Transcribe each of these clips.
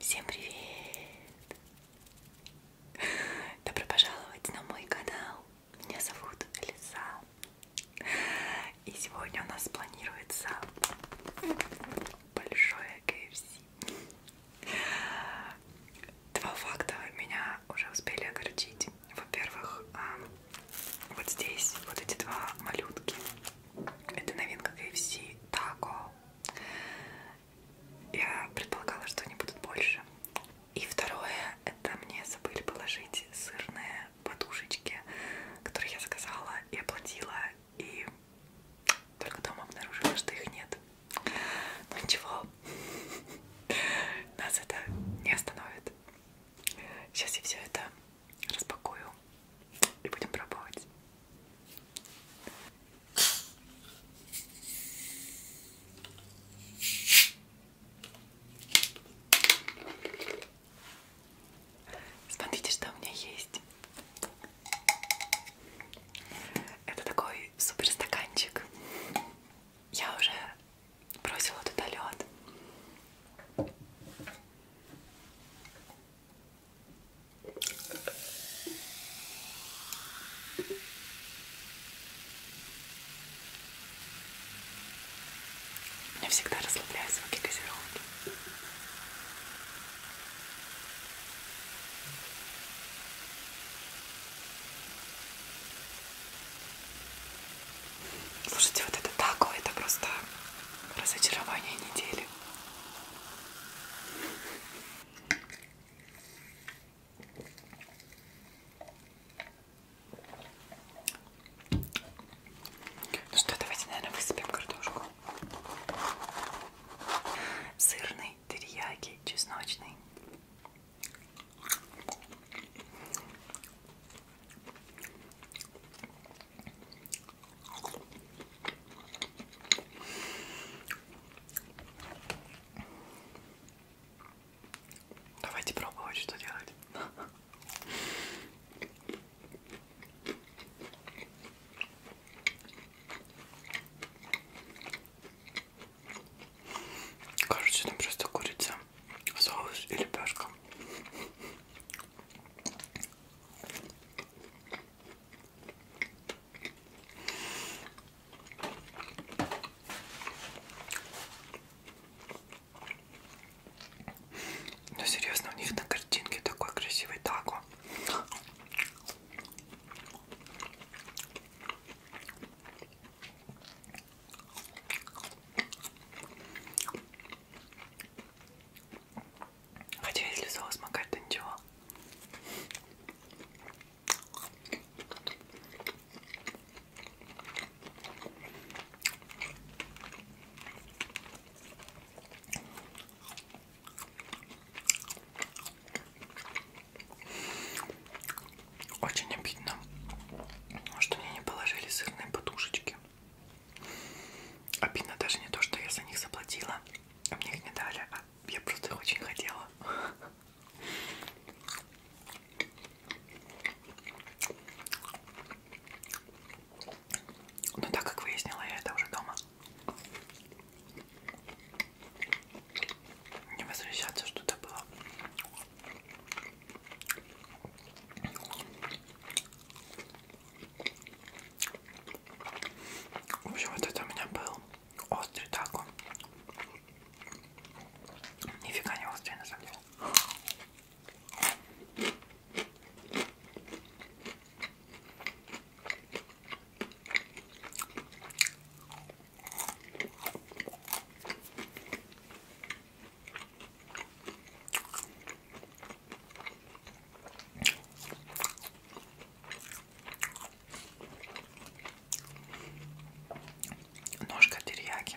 Всем привет! Добро пожаловать на мой канал. Меня зовут Лиза. И сегодня у нас планируется большое KFC. Два факта меня уже успели огорчить. Во-первых, а, вот здесь вот эти два малютки. Это новинка KFC Taco. Я предполагала, что они будут больше. И второе, это мне забыли положить сырные подушечки, которые я заказала и оплатила. И только дома обнаружила, что их нет. Ну ничего, нас это не остановит. Сейчас я все это распакую и будем пробовать. Смотрите, что у меня есть. Это такой супер стаканчик. Я уже бросила туда лед. Меня всегда расслабляют звуки газировки. Слушайте, вот это тако, это просто разочарование недели. Ну что, давайте, наверное, высыпем картошку. Сырный, терияки, чесночный. Давайте пробовать, что делать. Короче, там просто курица, соус и лепешка. Но ну, серьезно, у них на картинке такой красивый тако. Хотя если соус макать, то ничего. Очень обидно, что мне не положили сырные подушечки. Обидно даже не то, что я за них заплатила, а мне их не дали, а я просто их очень хотела. Но так как выяснила я это уже дома, не возвращаться что-то было. В общем, вот это у меня был острый тако. Нифига не острый, на самом деле. Ножка терияки.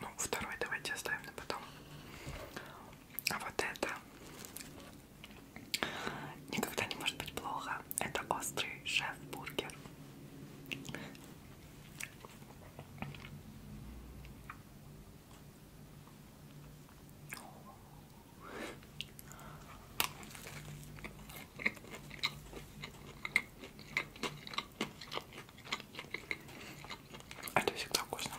Ну, второй давайте оставим на потом. А вот это никогда не может быть плохо. Это острый шеф-бургер. А это всегда вкусно.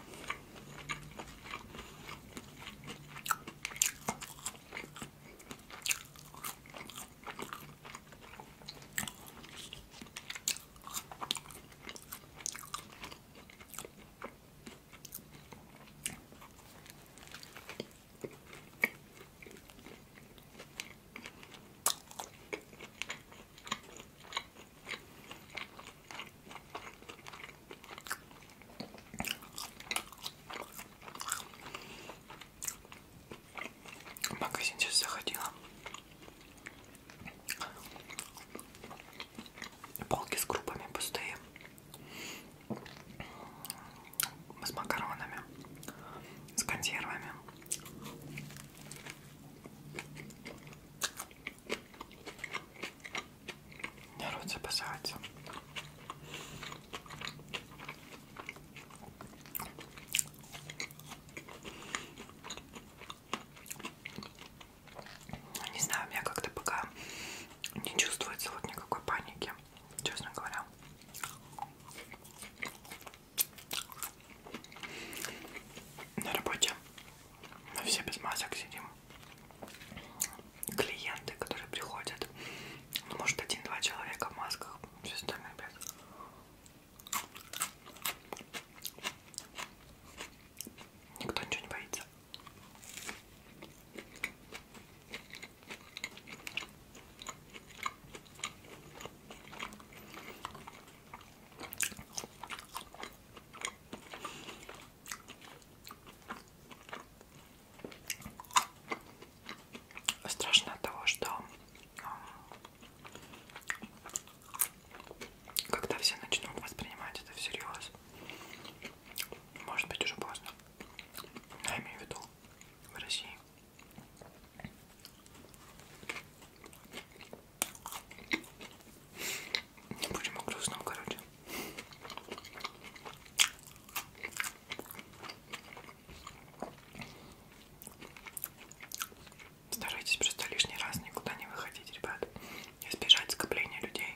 В магазин сейчас заходила. Полки с крупами пустые с макаронами, с консервами. Не рот запасается. Не знаю, у меня как-то пока не чувствуется вот никакой паники, честно говоря. На работе мы все без масок сидим. Клиенты, которые приходят, ну, может, один-два человека в масках, все остальные без. Никто ничего не боится. Страшно от того, что когда все начнут воспринимать это всерьез, может быть уже поздно. Я имею в виду в России. Не будем о грустном, короче. Старайтесь просто лишний раз никуда не выходить, ребят. Избежать скопления людей.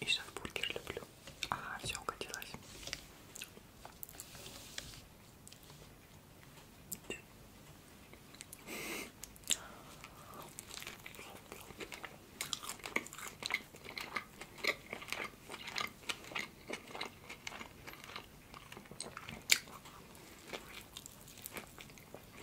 И сейчас бургер люблю. Ага, все укатилось.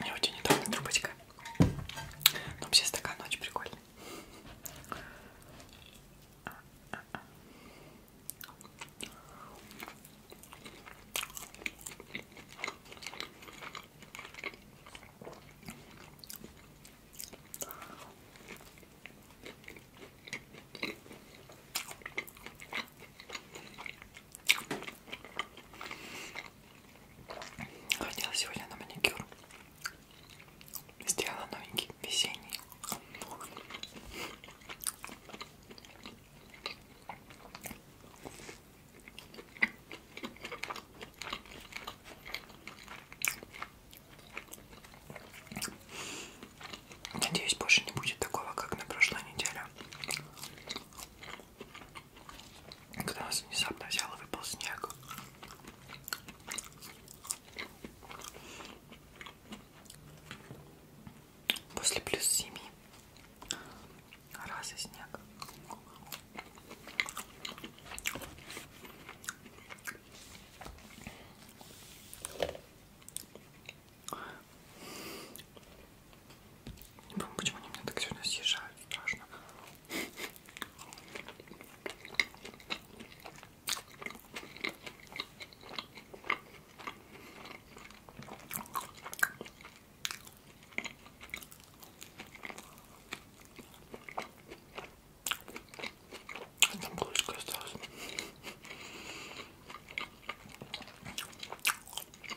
Мне очень удобно трубочка. Но вообще стакан очень прикольный. Ходила сегодня на маникюр. Сделала новенький весенний. Надеюсь, больше не будет такого, как на прошлой неделе когда нас внезапно взял и выпал снег. После плюс семи раз и снег. Не помню, почему они меня так сильно съезжают, страшно. Там булочка осталась.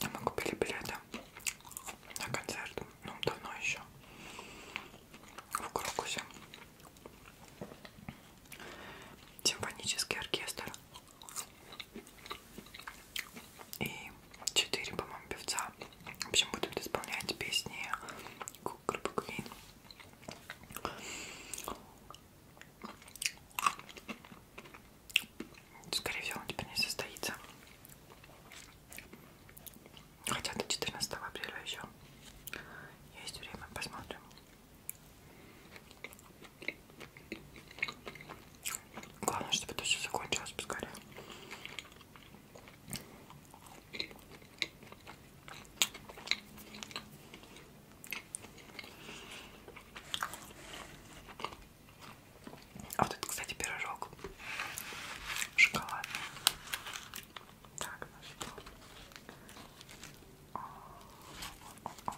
А мы купили билеты на концерт, ну давно еще в Крокусе. Симфонический оркестр и 4, по-моему, певца. В общем, будут исполнять песни группы Queen. Скорее всего, он теперь не состоится. Хотя до 14 апреля еще есть время, посмотрим. Главное, чтобы это все закончилось поскорее. А вот это, кстати, пирожок шоколадный. Так, наш. Ну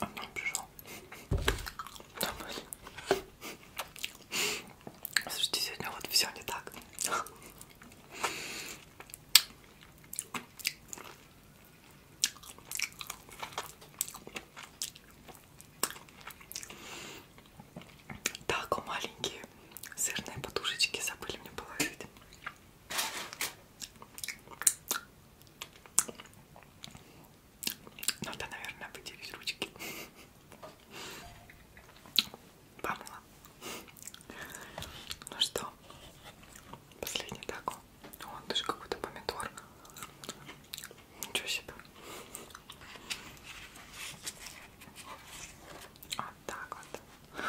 Домой пришел. Домой. Слушайте, сегодня вот все не так. Так, маленькие сырные подушечки забыли мне положить. Надо, наверное, выделить ручки. Помыла. Ну что, последний такой. Он даже какой-то помидор. Ничего себе. Вот так вот.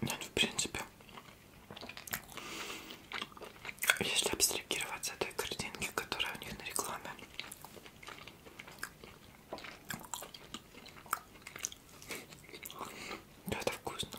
Нет, в принципе, если абстрагироваться от той картинки, которая у них на рекламе, да, это вкусно.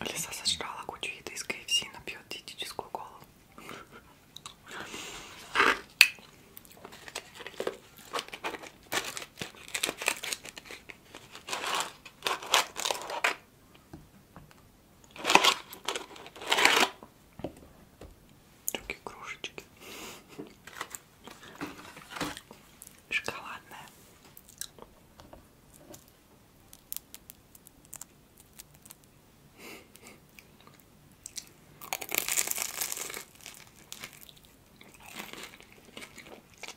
Лиса сожрала кучу еды из КФС и напьет диетическую колу. Другие кружечки. Шоколадная.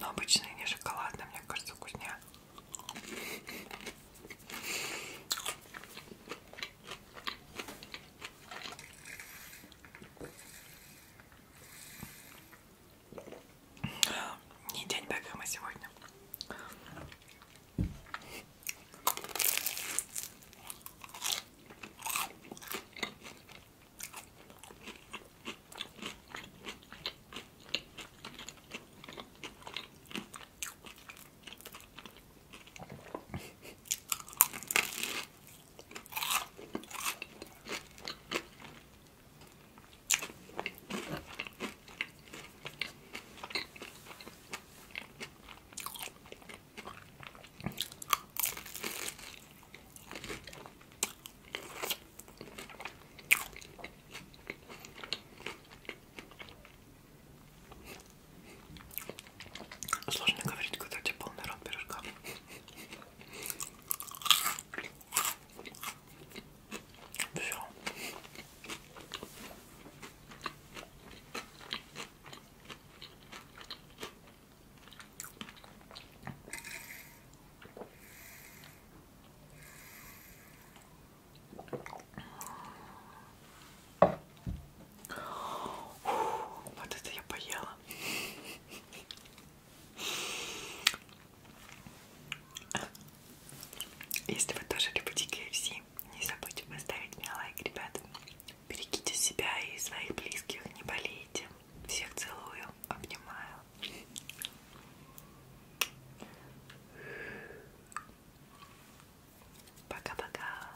Но обычные не шоколадные, мне кажется, вкуснее. Не день Бекхэма сегодня. Сложно говорить, когда у тебя полный рот пирожка. Все. Вот это я поела. Если вы тоже любите KFC, не забудьте поставить мне лайк, ребята. Берегите себя и своих близких, не болейте. Всех целую, обнимаю. Пока-пока.